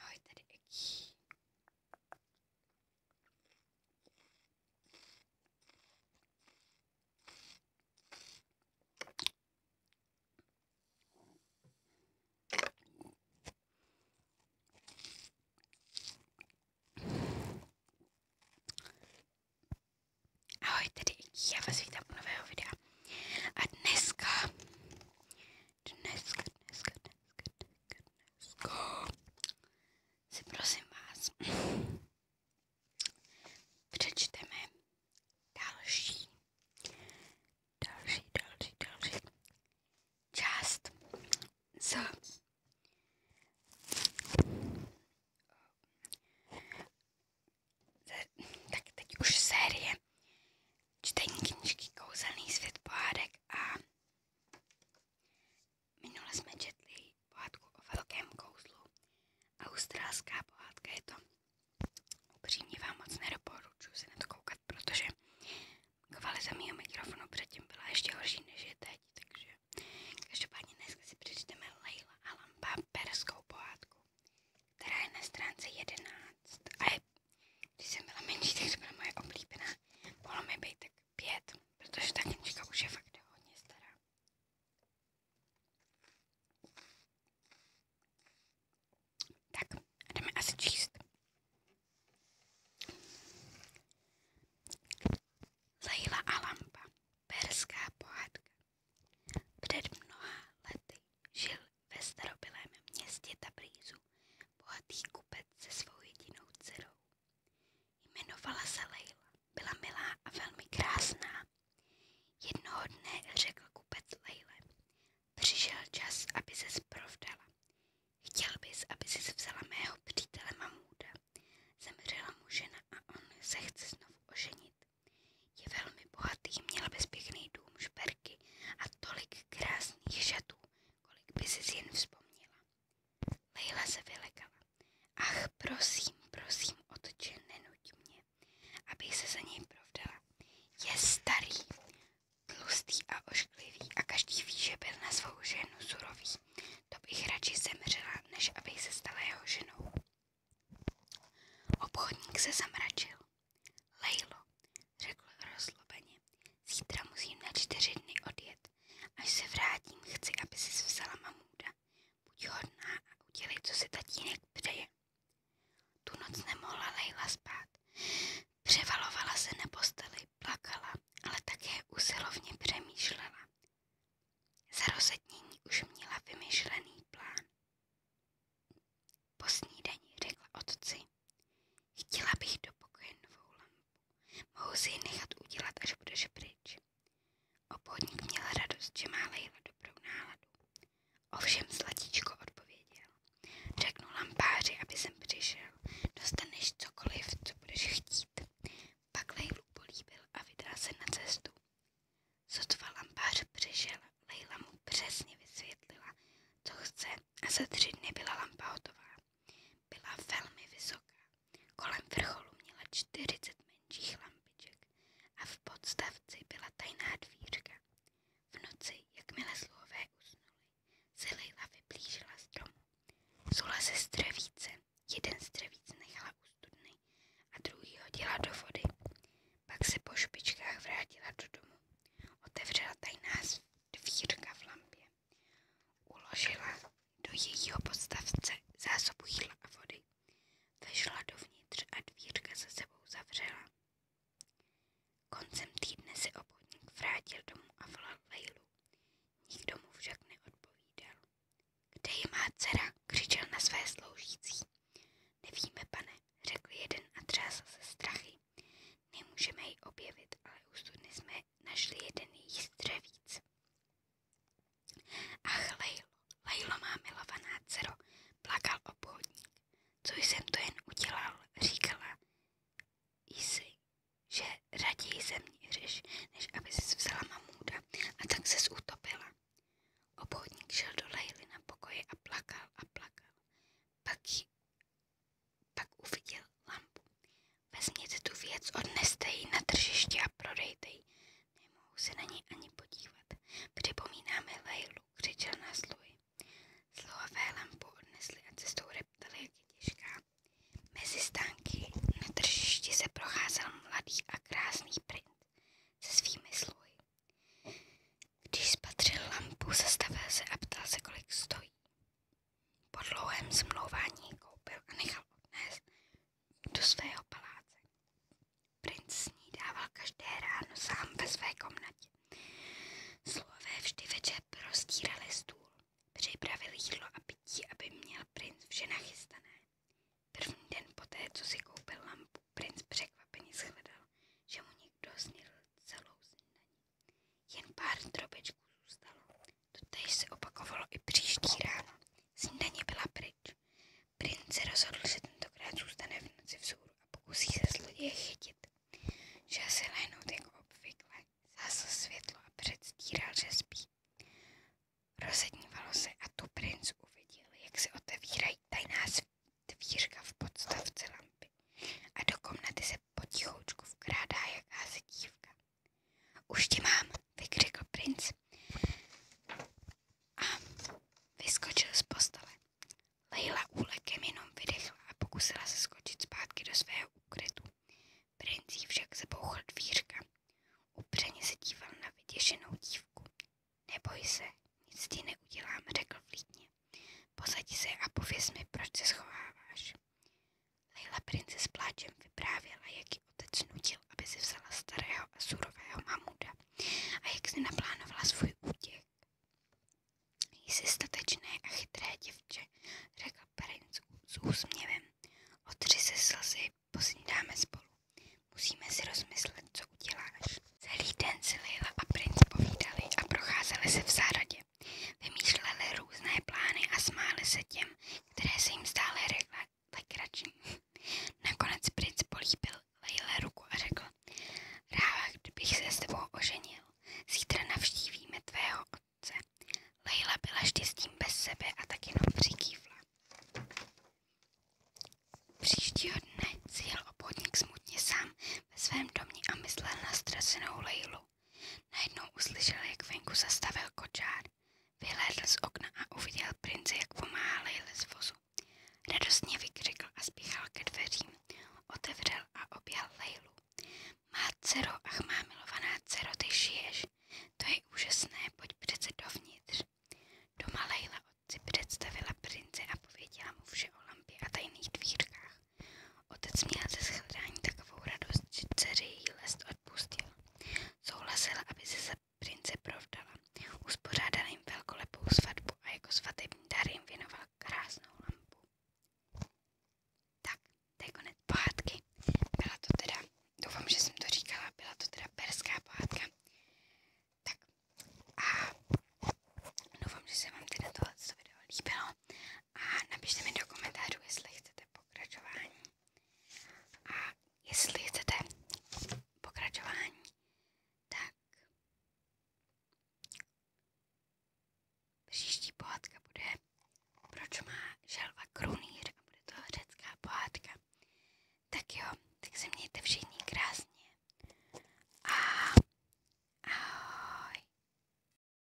Ahoj tady Eki. Ahoj tady Eki, já vás vítám u nového videa. A dneska, dneska, dneska, dneska, goodness, goodness. Ko? Si prosím vás, přečteme další, další, další, další část z tak teď už série čtení knížky Kouzelný svět pohádek a minule jsme četli pohádku o velkém kouzlu. Australská pohádka je to. Upřímně vám moc nedoporučuji se na to koukat, protože kvalita mého mikrofonu předtím byla ještě horší než je teď, takže každopádně dneska si přečteme Leila a Lampa perskou pohádku, která je na stránce 11 a je když jsem byla menší, tak to byla moje oblíbená. mi být tak pět, protože ta knižka už fakt hodně stará. Tak, jdeme asi číst. Leila a perská pohádka. Před mnoha lety žil ve starobylém městě Tabrizu bohatý kupec se svou jedinou dcerou. Jmenovala se Leila, byla milá a velmi krásná. Jednoho dne řekl kupec Leile, přišel čas, aby se provdala. Chtěl bys, aby si vzala mého přítele Mamuda. Zemřela mu žena a on se chce znovu oženit. Je velmi bohatý, měl bezpěkný dům, šperky a tolik krásných šatů, kolik by si jen vzpomněla. Leila se vylekala. Ach, prosím, prosím, otče, nenuť mě, abych se za něj provdala. Je starý, tlustý a ošklivý a každý ví, že byl na svou ženu surový. To bych radši zemřela, než abych se stala jeho ženou. Obchodník se zamračil. Lejlo, řekl rozlobeně, zítra musím na čtyři dny odjet. Až se vrátím, chci, aby si vzala mamůda. Buď hodná a udělej, co si tatínek přeje. Tu noc nemohla Lejla spát. Převalovala se na posteli, plakala, ale také usilovně přemýšlela. Za rozetnění už měla vymyšlený plán. Po snídani řekla otci. Chtěla bych do pokoje novou lampu. Mohu si ji nechat udělat, až budeš pryč. Obchodník měl radost, že má Lejla dobrou náladu. Ovšem Zlatíčko odpověděl. Řeknu lampáři, aby jsem přišel. Dostaneš cokoliv, co budeš chtít. Pak Lejlu políbil a vydal se na cestu. Sotva lampář přišel, Lejla mu přesně vysvětlila, co chce a za tři dny byla lampa hotová. Byla velmi vysoká. Kolem vrcholu měla 40 menších lampiček a v podstavci byla tajná dvířka. V noci, jakmile sluhové usnuli, se Leila vyblížila stromu. Zula se střevíce, jeden střevíc nechala u studny a druhý hodila do vody. Pak se po špičkách vrátila do domu. Otevřela tajná sv- dvírka v lampě. Uložila do jejího podstavce zásobu jídla vody. Vešla dovnitř a dvírka za sebou zavřela. Koncem se obchodník vrátil domů a volal Lejlu. Nikdo mu však neodpovídal. Kde je má křičel na své sloužící. Nevíme, pane, řekl jeden a třásl se strachy. Nemůžeme ji objevit, ale u studny jsme našli jeden její střevíc. Ach, Lejlo, Lejlo má milovaná dcero, plakal obchodník. Co jsem to jen udělal, říkala Isi, že raději mě zemíříš, než aby ses vzala mamůda a tak ses utopila. Obchodník šel do Lejly na pokoji a plakal a plakal. Pak pak uviděl lampu. Vezměte tu věc, odneste ji na tržiště a prodejte ji. Nemohu se na ní ani podívat. Připomínáme Lejlu, křičel na sluhy. Slohové lampu odnesli a cestou reptali, jak je těžká. Mezi stánky na tržišti se procházel mladý a krásný princ se svými sluhy. Když spatřil lampu, zastavil se a ptal se, kolik stojí. Po dlouhém zmlouvání koupil a nechal odnést do svého paláce. Princ s dával každé ráno sám ve své komnatě. Slové vždy večer prostírali stůl, připravili jídlo a pití, aby měl princ vše nachystané. První den poté, co si koupil lampu, princ překvapeně shledal, že mu někdo snil celou snídaní. Jen pár drobečků zůstalo. Totež se opakovalo i příští ráno. Snídaně byla pryč. prince se rozhodl, že tentokrát zůstane v noci vzhůru a pokusí se zloděje chytit. Šel se lehnout jako obvykle, zásl světlo a předstíral, že spí. Rozednívalo se a tu princ uviděl, jak se otevírají tajná dvířka v podstavce lampy a do se potichoučku vkrádá jakási dívka. Už ti mám, vykřikl princ a vyskočil z postele. Leila úlekem jenom vydechla a pokusila se skočit zpátky do svého úkrytu. Princ však zabouchl dvířka. Upřeně se díval na vyděšenou dívku. Neboj se, nic ti neudělám, řekl vlídně. Posadí se a pověz mi, proč se schováváš. Leila princi s pláčem vyprávěla, jak ji otec nutil, aby si vzala starého a surového mamuda a jak si naplánovala svůj útěk. Jsi statečné a chytré děvče, řekl Princ s úsměvem. Otři se slzy, posnídáme spolu. Musíme si rozmyslet, co uděláš. Celý den si Leila a princ povídali a procházeli se v zahradě. Vymýšleli různé plány a smáli se těm, které se jim stále řekla. legrační. Nakonec princ políbil Lejle ruku a řekl, ráda, kdybych se s tebou oženil, zítra navštívíme tvého otce. Lejla byla štěstím bez sebe a tak jenom přikývla. Příštího dne si jel obchodník smutně sám ve svém domě a myslel na ztracenou Lejlu. Najednou uslyšel, jak venku zastavil kočár. Vyhlédl z okna a uviděl prince, jak pomáhá Lejle z vozu. Radostně vykřikl a spíchal ke dveřím. Otevřel a objal Lejlu. Má dcero, ach má milovaná dcero, ty šiješ. To je úžasné, pojď přece dovnitř. Doma Lejla otci představila prince a pověděla mu vše o lampě a tajných dvírkách. Otec měl ze shledání takovou radost, že dceři jí lest odpustil. Souhlasila, aby se za prince provdala. Uspořádal jim velkolepou svatbu a jako svatební dar jim věnoval krásnou lampu. Tak, to je konec Byla to teda, doufám, že jsem to říkala, byla to teda perská pohádka. Tak a doufám, že se vám teda tohle video líbilo a napište mi do komentářů, jestli chcete pokračování. A jestli chcete pokračování, tak příští pohádka bude Proč má želva krunýr a bude to řecká pohádka. Tak jo, tak se mějte všichni krásně. A